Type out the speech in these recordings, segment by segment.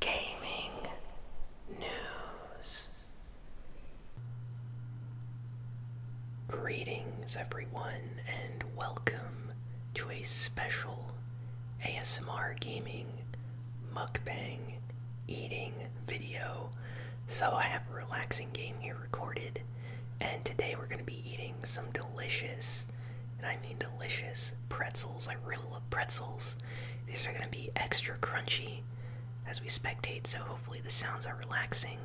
gaming news. Greetings, everyone, and welcome to a special ASMR gaming mukbang eating video. So, I have a relaxing game here recorded, and today we're going to be eating some delicious, and I mean delicious, pretzels. I really love pretzels. These are going to be extra crunchy as we spectate, so hopefully the sounds are relaxing.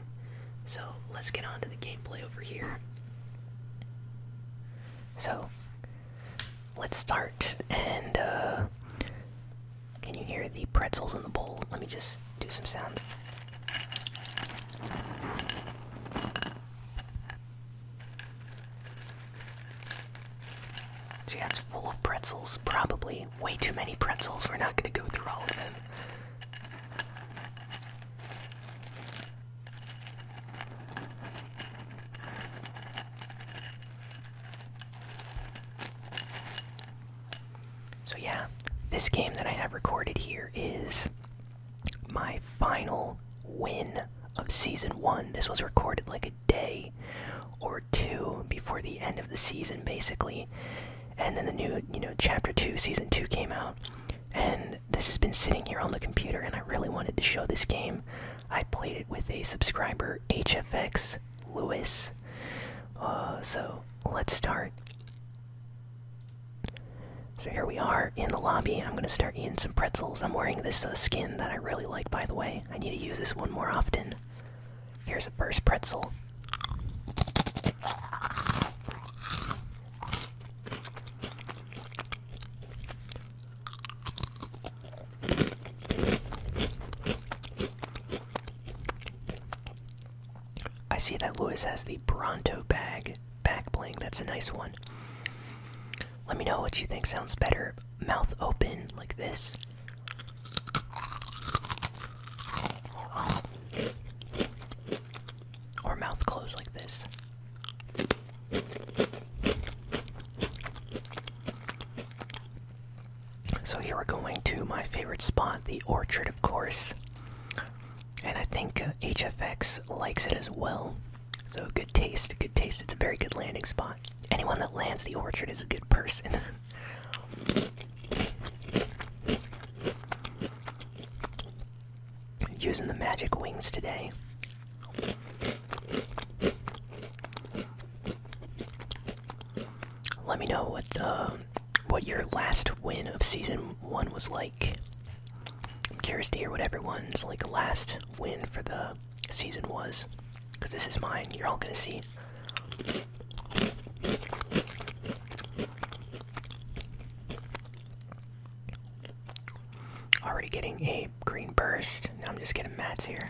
So let's get on to the gameplay over here. So let's start. And uh, can you hear the pretzels in the bowl? Let me just do some sounds. So yeah, full of pretzels, probably. Way too many pretzels, we're not gonna go through all of them. So yeah, this game that I have recorded here is my final win of season one. This was recorded like a day or two before the end of the season, basically. And then the new, you know, chapter two, season two came out, and this has been sitting here on the computer, and I really wanted to show this game. I played it with a subscriber, HFX Lewis. Uh, so let's start. So here we are in the lobby. I'm gonna start eating some pretzels. I'm wearing this uh, skin that I really like, by the way. I need to use this one more often. Here's a first pretzel. I see that Louis has the Bronto bag back bling. That's a nice one. Let me know what you think sounds better. Mouth open like this or mouth closed like this. So here we're going to my favorite spot, the orchard, of course. And I think HFX uh, likes it as well. So good taste, good taste. It's a very good landing spot anyone that lands the orchard is a good person. Using the magic wings today. Let me know what uh, what your last win of season one was like. I'm curious to hear what everyone's like last win for the season was, because this is mine. You're all gonna see. Already getting a green burst. Now I'm just getting mats here.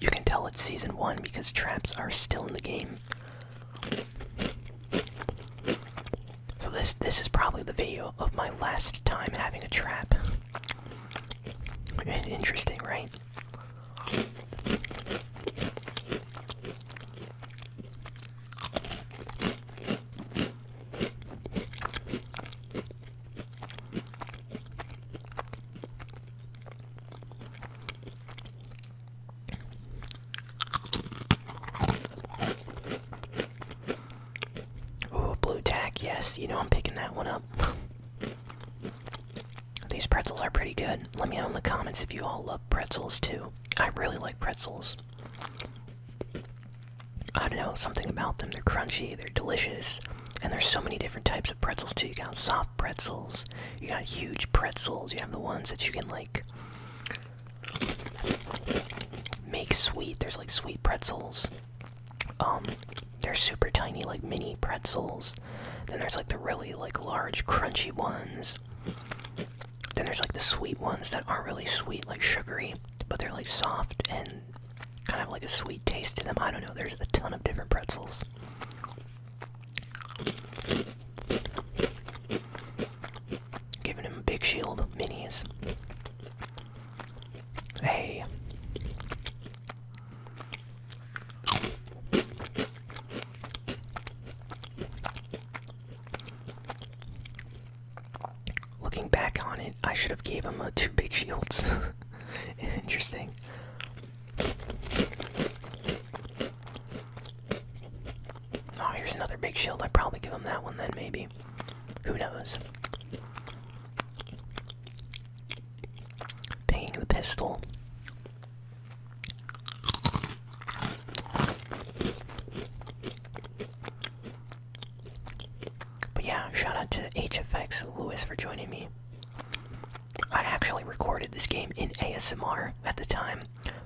You can tell it's season one because traps are still in the game. So this this is probably the video of my last time having a trap. Interesting, right? Ooh, blue tack, yes, you know I'm picking that one up. These pretzels are pretty good. Let me know in the comments if you all love pretzels too. I really like pretzels. I don't know, something about them. They're crunchy, they're delicious, and there's so many different types of pretzels too. You got soft pretzels, you got huge pretzels, you have the ones that you can like make sweet. There's like sweet pretzels. Um, they're super tiny, like mini pretzels. Then there's like the really like large, crunchy ones. Then there's like the sweet ones that aren't really sweet, like sugary but they're like soft and kind of like a sweet taste to them. I don't know. There's a ton of different pretzels. Giving him big shield minis. Hey. Looking back on it, I should have gave him uh, two big shields. Interesting. Oh, here's another big shield. I'd probably give him that one then, maybe. Who knows? Picking the pistol. But yeah, shout out to HFX Lewis for joining me. I actually recorded this game in ASMR at the time,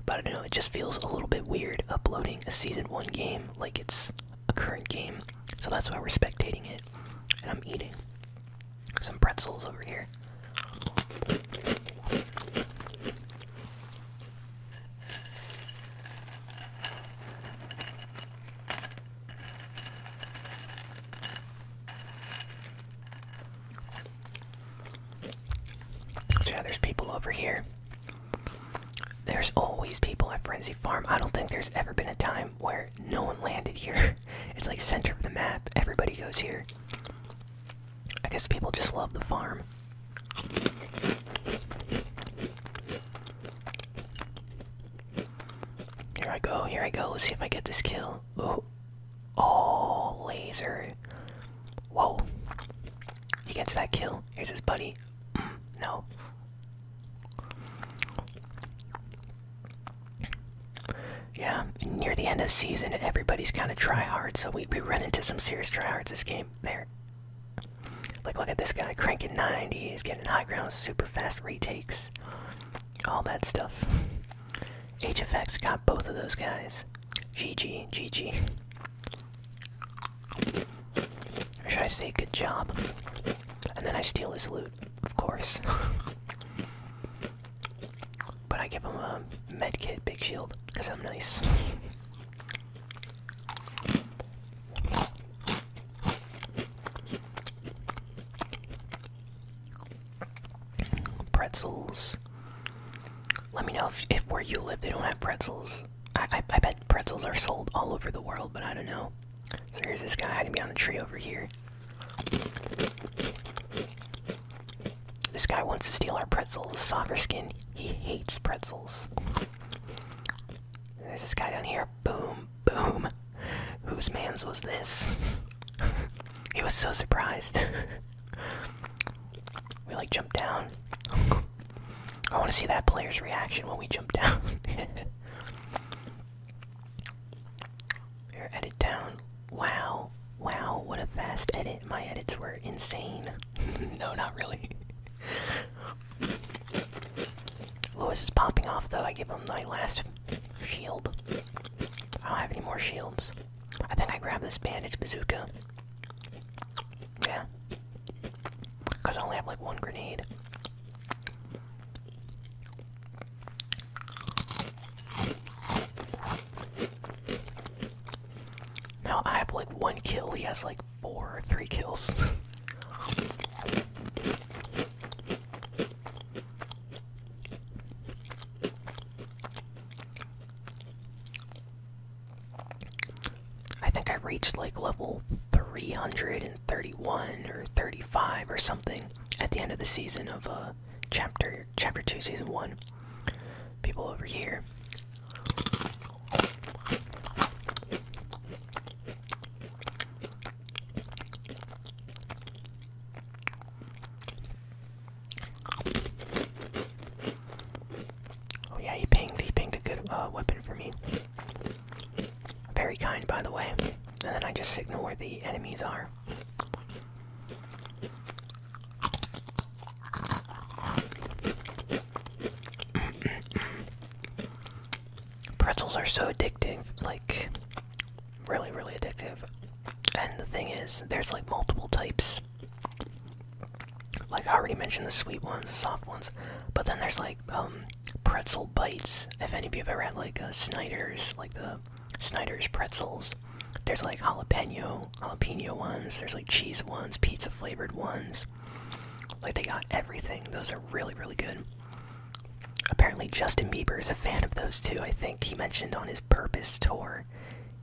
but I don't know, it just feels a little bit weird uploading a season 1 game like it's a current game, so that's why we're spectating it. And I'm eating some pretzels over here yeah, there's people over here. There's always people at Frenzy Farm. I don't think there's ever been a time where no one landed here. it's like center of the map. Everybody goes here. I guess people just love the farm. Here I go, here I go. Let's see if I get this kill. Oh, laser. Whoa. He gets that kill. Here's his buddy. Mm, no. Yeah, near the end of the season, everybody's kind of try hard. so we, we run into some serious try hards. this game. There. Like, look at this guy cranking 90s, getting high ground, super fast retakes, all that stuff. HFX got both of those guys. GG, GG. Or should I say good job? And then I steal his loot, of course. but I give him a med kit, big shield, because I'm nice. Pretzels. Let me know if, if where you live they don't have pretzels. I, I, bet pretzels are sold all over the world, but I don't know. So here's this guy hiding behind the tree over here. This guy wants to steal our pretzels. Soccer skin. He hates pretzels. There's this guy down here. Boom, boom. Whose man's was this? he was so surprised. we like jump down. I want to see that player's reaction when we jump down. Here, edit down. Wow. Wow, what a fast edit. My edits were insane. no, not really. Lewis is popping off though. I give him my last shield. I don't have any more shields. I think I grab this bandage bazooka. Yeah. Because I only have like one grenade. Now I have like one kill. He has like four three kills. I think I reached like level 331 or 35 or something at the end of the season of uh chapter chapter 2 season 1. People over here. Oh yeah, he pinged. He pinged a good uh, weapon for me. Very kind, by the way. And then I just signal where the enemies are. Pretzels are so addictive, like really, really addictive. And the thing is, there's like multiple types. Like I already mentioned the sweet ones, the soft ones, but then there's like um, pretzel bites. If any of you have ever had like a Snyder's, like the Snyder's pretzels, there's like jalapeno, jalapeno ones. There's like cheese ones, pizza flavored ones. Like they got everything. Those are really, really good. Apparently, Justin Bieber is a fan of those too. I think he mentioned on his Purpose tour,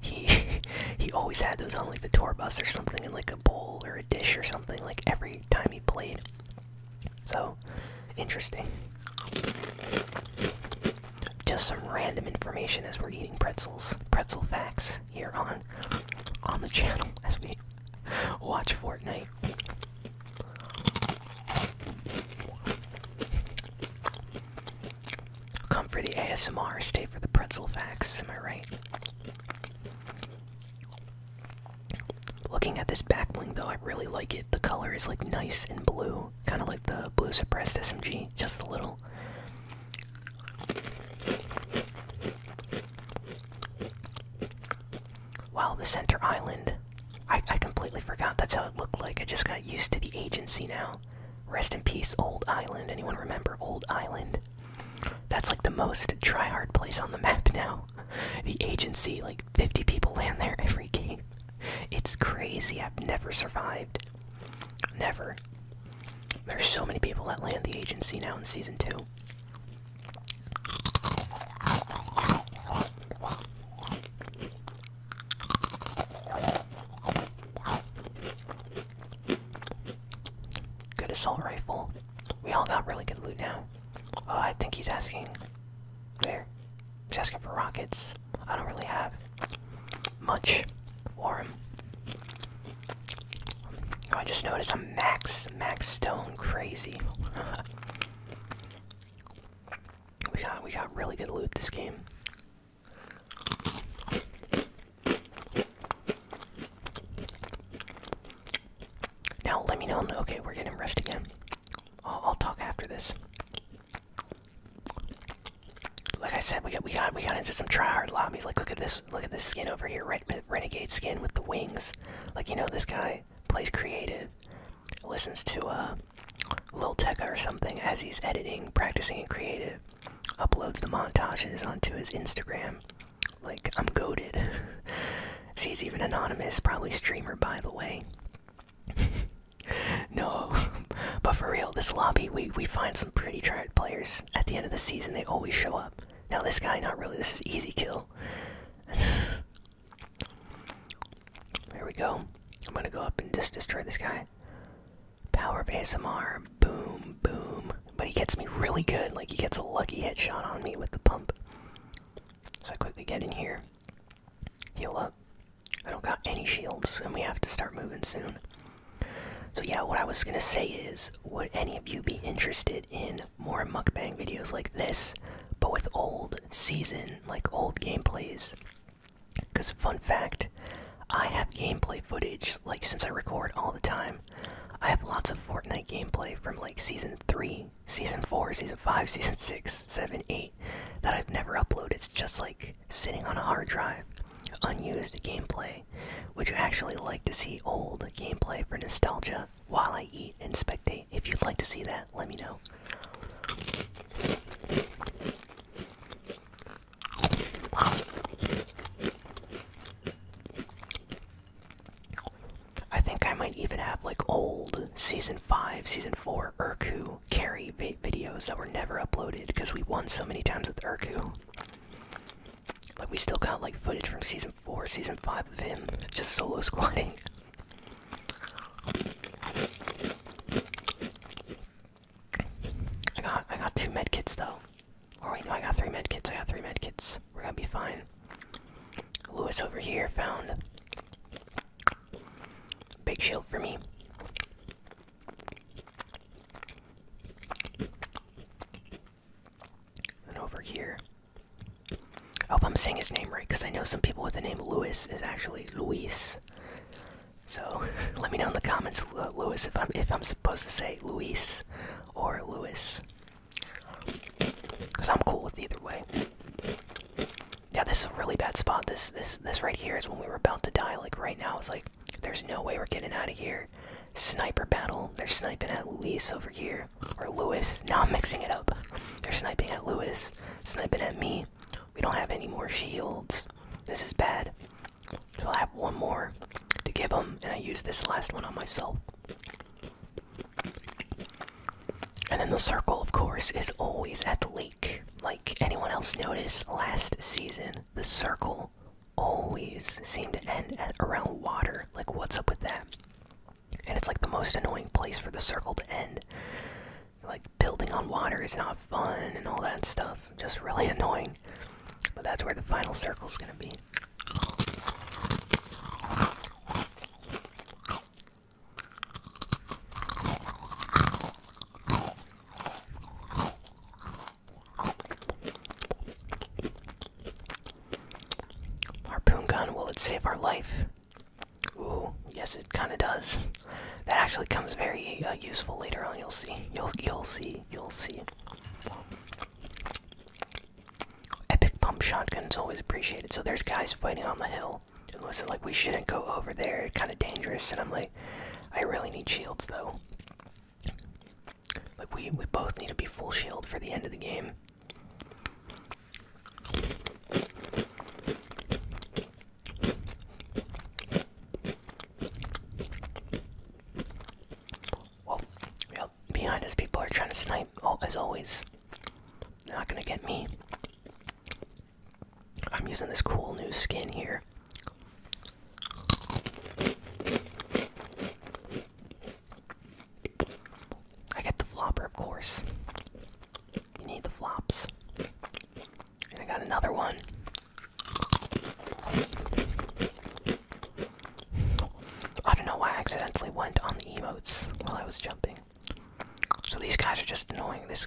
he he always had those on like the tour bus or something, in like a bowl or a dish or something. Like every time he played. So interesting. Just some random information as we're eating pretzels, pretzel facts here on on the channel as we Watch Fortnite. Come for the ASMR, stay for the pretzel facts, am I right? Looking at this back bling though, I really like it. The color is like nice and blue, kind of like the blue suppressed SMG, just a little. Wow, the center island. I, completely forgot that's how it looked like. I just got used to the agency now. Rest in peace, Old Island. Anyone remember Old Island? That's like the most tryhard place on the map now. The agency, like 50 people land there every game. It's crazy. I've never survived. Never. There's so many people that land the agency now in season 2. Good assault rifle. We all got really good loot now. Uh, I think he's asking. There. He's asking for rockets. I don't really have much for him. Oh, I just noticed I'm max, max stone crazy. we got, we got really good loot this game. Now let me know. okay, we're getting rushed again. I'll, talk after this. Like I said, we got, we got, we got into some tryhard lobbies. Like, look at this look at this skin over here, Ren renegade skin with the wings. Like you know, this guy plays creative, listens to uh, Lil Tecca or something as he's editing, practicing, and creative. Uploads the montages onto his Instagram. Like I'm goaded. See, he's even anonymous, probably streamer by the way. no, but for real, this lobby we we find some pretty tried players. At the end of the season, they always show up. Now this guy, not really. This is easy kill. there we go. I'm gonna go up and just destroy this guy. Power of ASMR. Boom, boom. But he gets me really good. Like, he gets a lucky headshot on me with the pump. So I quickly get in here. Heal up. I don't got any shields, and we have to start moving soon. So yeah, what I was gonna say is, would any of you be interested in on more mukbang videos like this, but with old season, like old gameplays. Because, fun fact, I have gameplay footage, like, since I record all the time. I have lots of Fortnite gameplay from, like, season 3, season 4, season 5, season 6, 7, 8 that I've never uploaded. It's just, like, sitting on a hard drive, unused gameplay. Would you actually like to see old gameplay for nostalgia? while I eat and spectate. If you'd like to see that, let me know. I think I might even have like old season 5, season 4 Urku carry videos that were never uploaded because we won so many times with Urku. Like we still got like footage from season four, season five of him just solo squatting. I got I got two med kits though. Or wait, no, I got three med kits. I got three med kits. We're gonna be fine. Lewis over here found big shield for me. And over here. I hope I'm saying his name right because I know some people with the name Lewis is actually Luis. So let me know in the comments, Lewis, if I'm if I'm supposed to say Luis or Lewis, because I'm cool with either way. Yeah, this is a really bad spot. This this this right here is when we were about to die. Like right now, it's like there's no way we're getting out of here sniper battle. They're sniping at Luis over here. Or Lewis. Now I'm mixing it up. They're sniping at Lewis. Sniping at me. We don't have any more shields. This is bad. So i have one more to give them, and I use this last one on myself. And then the circle, of course, is always at the lake. Like anyone else noticed last season, the circle always seemed to end at around water. Like, what's up with that? and it's like the most annoying place for the circle to end. Like building on water is not fun and all that stuff. Just really annoying. But that's where the final circle is gonna be. Harpoon gun, will it save our life? Ooh, yes, it kind of does. That actually comes very uh, useful later on. You'll see. You'll you'll see. You'll see. Epic pump shotgun's always appreciated. So there's guys fighting on the hill. And listen, like we shouldn't go over there. It's kind of dangerous. And I'm like, I really need shields though. Like we we both need to be full shield for the end of the game. Well, behind us people are trying to snipe, all, oh, as always. They're not gonna get me. I'm using this cool new skin here. I get the flopper, of course. You need the flops. I got another one. I don't know why I accidentally went on the emotes while I was jumping. So these guys are just annoying. This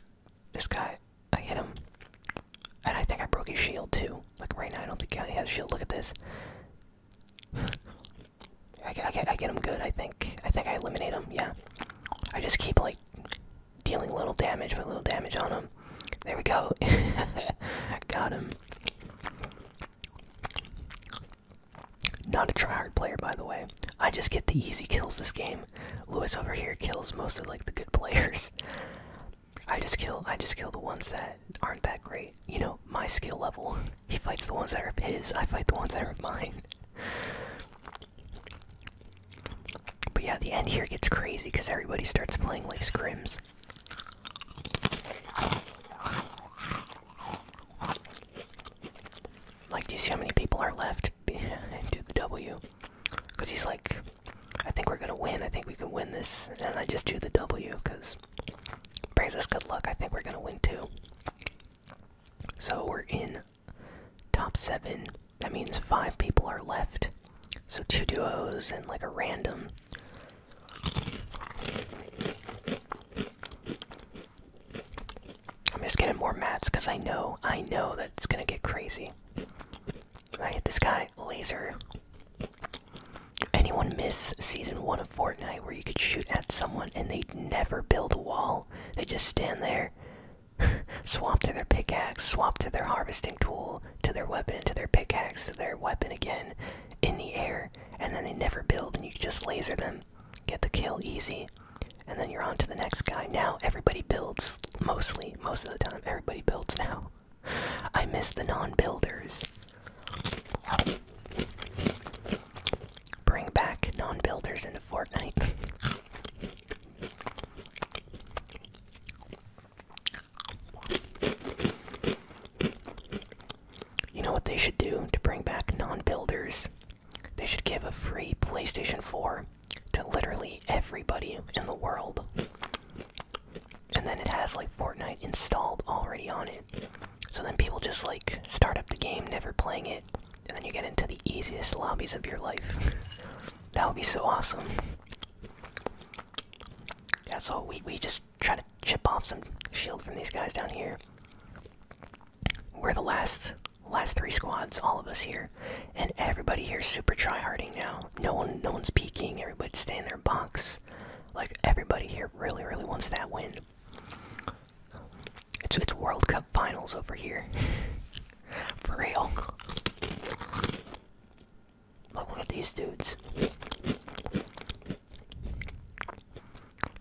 this guy, I hit him. And I think I broke his shield too. Like right now, I don't think he has a shield. Look at this. I get, I get, I get him good. I think, I think I eliminate them. Yeah, I just keep like dealing little damage, but little damage on them. There we go. Got him. Not a tryhard player, by the way. I just get the easy kills this game. Lewis over here kills most of like the good players. I just kill, I just kill the ones that aren't that great you know, my skill level. He fights the ones that are of his, I fight the ones that are of mine. But yeah, the end here gets crazy because everybody starts playing like scrims. Like, do you see how many people are left? Do the W. Because he's like, I think we're gonna win, I think we can win this. And I just do the W because Brings us good luck. I think we're gonna win too. So we're in top seven. That means five people are left. So two duos and like a random. I'm just getting more mats because I know, I know that it's gonna get crazy. I hit this guy, laser. Anyone miss season one of Fortnite where you could shoot at someone and they'd never build a wall? They just stand there, swap to their pickaxe, swap to their harvesting tool, to their weapon, to their pickaxe, to their weapon again, in the air, and then they never build and you just laser them, get the kill easy, and then you're on to the next guy. Now everybody builds, mostly, most of the time, everybody builds now. I miss the non builders. Bring back non builders into Fortnite. you know what they should do to bring back non builders? They should give a free PlayStation 4 to literally everybody in the world. And then it has like Fortnite installed already on it. So then people just like start up the game, never playing it, and then you get into the easiest lobbies of your life. that would be so awesome. Yeah, so we, we just try to chip off some shield from these guys down here. We're the last last three squads, all of us here, and everybody here's super try harding now. No one no one's peeking, everybody's staying in their box. Like everybody here really, really wants that win. It's it's World Cup finals over here. For real. Look at these dudes.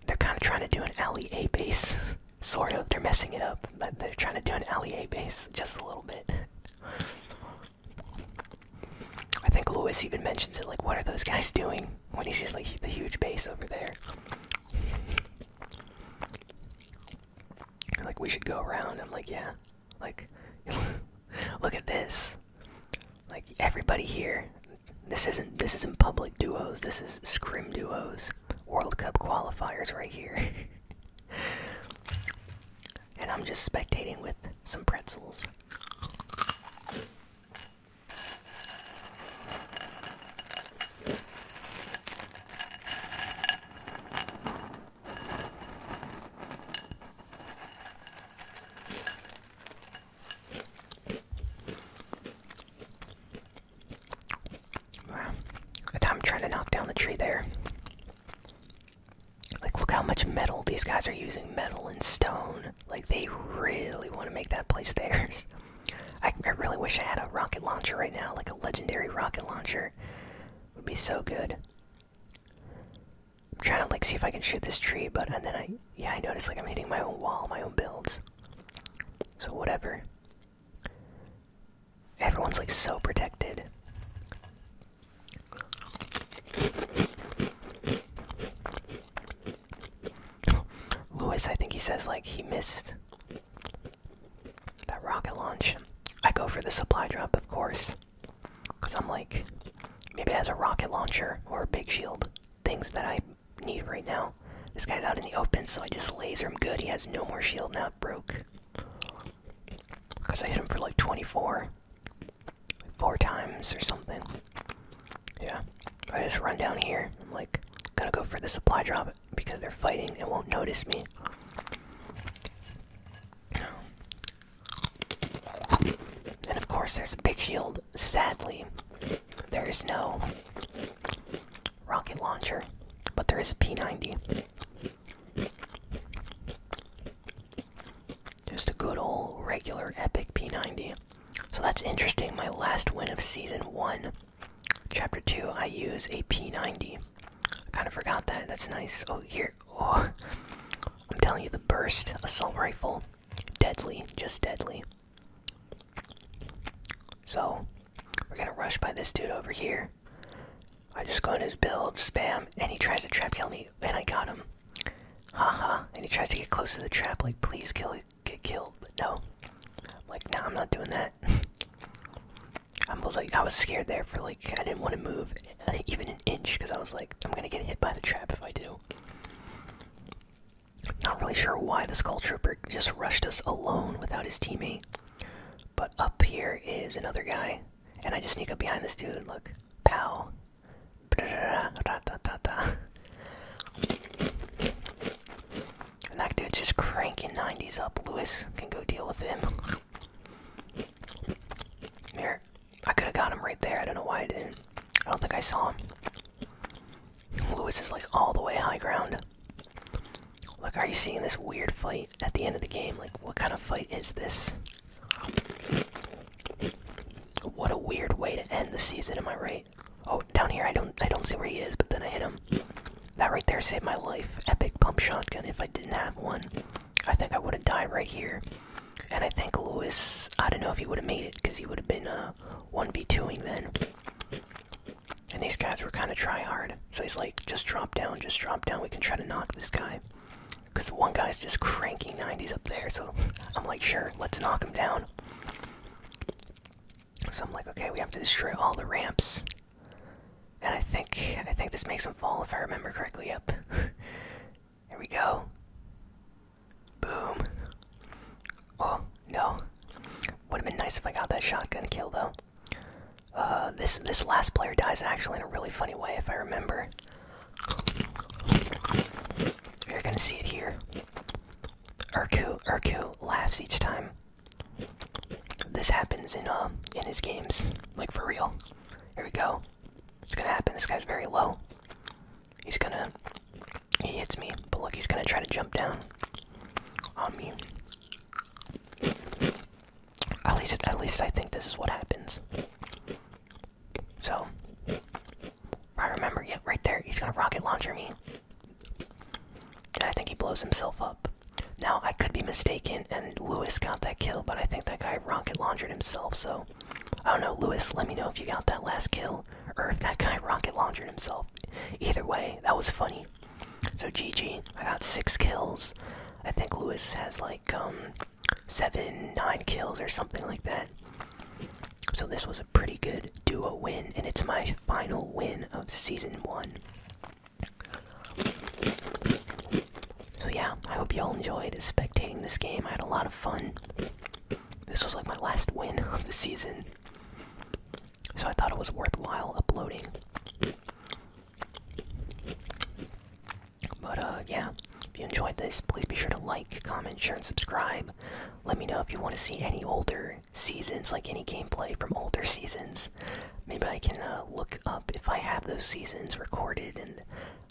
They're kind of trying to do an LEA base. sort of. They're messing it up, but they're trying to do an LEA base just a little bit. I think Lewis even mentions it. Like, what are those guys doing when he sees like the huge base over there? Like, we should go around. I'm like, yeah. Like, look at this. Like everybody here. This isn't this isn't public duos. This is scrim duos. World Cup qualifiers right here. and I'm just spectating with some pretzels. I'm trying to knock down the tree there. Like, look how much metal these guys are using metal and stone. Like they really want to make that place theirs. I, I really wish I had a rocket launcher right now, like a legendary rocket launcher. would be so good. I'm trying to like see if I can shoot this tree, but and then I yeah I notice like I'm hitting my own wall, my own builds. So whatever. Everyone's like so protected. Louis, I think he says, like, he missed that rocket launch. I go for the supply drop, of course. Because I'm like, maybe it has a rocket launcher or big shield. Things that I need right now. This guy's out in the open, so I just laser him good. He has no more shield now. Broke. Because I hit him for like 24 four times or something. Yeah. I just run down here. I'm like, going to go for the supply drop because they're fighting and won't notice me. And of course, there's a big shield. Sadly, there is no rocket launcher, but there is a P90. Just a good old regular epic P90. So that's interesting. My last win of season 1, chapter 2, I use a P90. I kind of forgot that. That's nice. Oh, here. Oh. I'm telling you, the burst assault rifle. Deadly. Just deadly. So, we're gonna rush by this dude over here. I just go in his build, spam, and he tries to trap kill me, and I got him. Haha. -ha. And he tries to get close to the trap, like, please kill get killed, but no. I'm like, no, I'm not doing that. I was like, I was scared there for like, I didn't want to move uh, even an inch because I was like, I'm gonna get hit by the trap if I do. Not really sure why the Skull Trooper just rushed us alone without his teammate. But up here is another guy, and I just sneak up behind this dude. Look, pow, and that dude's just cranking 90s up. Lewis can go deal with him. Here, I could have got him right there. I don't know why I didn't. I don't think I saw him. Lewis is like all the way high ground. Like, are you seeing this weird fight at the end of the game? Like, what kind of fight is this? What a weird way to end the season, am I right? Oh, down here I don't I don't see where he is, but then I hit him. That right there saved my life. Epic pump shotgun. If I didn't have one, I think I would have died right here. And I think Lewis, I don't know if he would have made it because he would have been uh, one B 2 ing then. And these guys were kind of try hard. So he's like, just drop down, just drop down. We can try to knock this guy. Because the one guy's just cranking 90s up there. So I'm like, sure, let's knock him down. So I'm like, okay, we have to destroy all the ramps. And I think I think this makes them fall if I remember correctly. Up, Here we go. Boom. Oh, no. Would have been nice if I got that shotgun kill though. Uh, this this last player dies actually in a really funny way if I remember. You're gonna see it here. Urku, Urku laughs each time. This happens in uh in his games, like for real. Here we go. It's gonna happen. This guy's very low. He's gonna he hits me, but look, he's gonna try to jump down on me. At least, at least I think this is what happens. So, I remember, yep, right there, he's gonna rocket launcher me. And I think he blows himself up. Now, I could be mistaken, and Lewis got that kill, but I think that guy rocket launchered himself, so. I don't know, Lewis, let me know if you got that last kill, or if that guy rocket launched himself. Either way, that was funny. So GG, I got six kills. I think Lewis has like um seven, nine kills or something like that. So this was a pretty good duo win, and it's my final win of season one. So yeah, I hope y'all enjoyed spectating this game. I had a lot of fun. This was like my last win of the season. So I thought it was worthwhile uploading. But uh yeah, if you enjoyed this, please be sure to like, comment, share, and subscribe. Let me know if you want to see any older seasons, like any gameplay from older seasons. Maybe I can uh, look up if I have those seasons recorded, and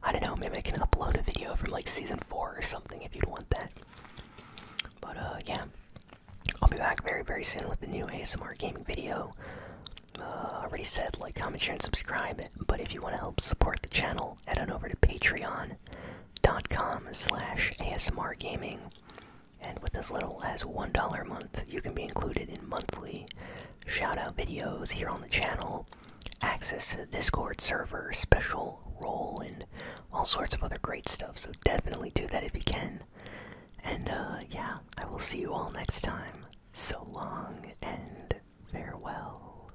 I don't know, maybe I can upload a video from like season 4 or something if you'd want that. But uh, yeah, I'll be back very, very soon with the new ASMR gaming video. Uh, already said like, comment, share, and subscribe, but if you want to help support the channel, head on over to Patreon patreon.com slash asmr gaming and with as little as $1 a month you can be included in monthly shoutout videos here on the channel access to the discord server special role and all sorts of other great stuff so definitely do that if you can and uh, yeah i will see you all next time so long and farewell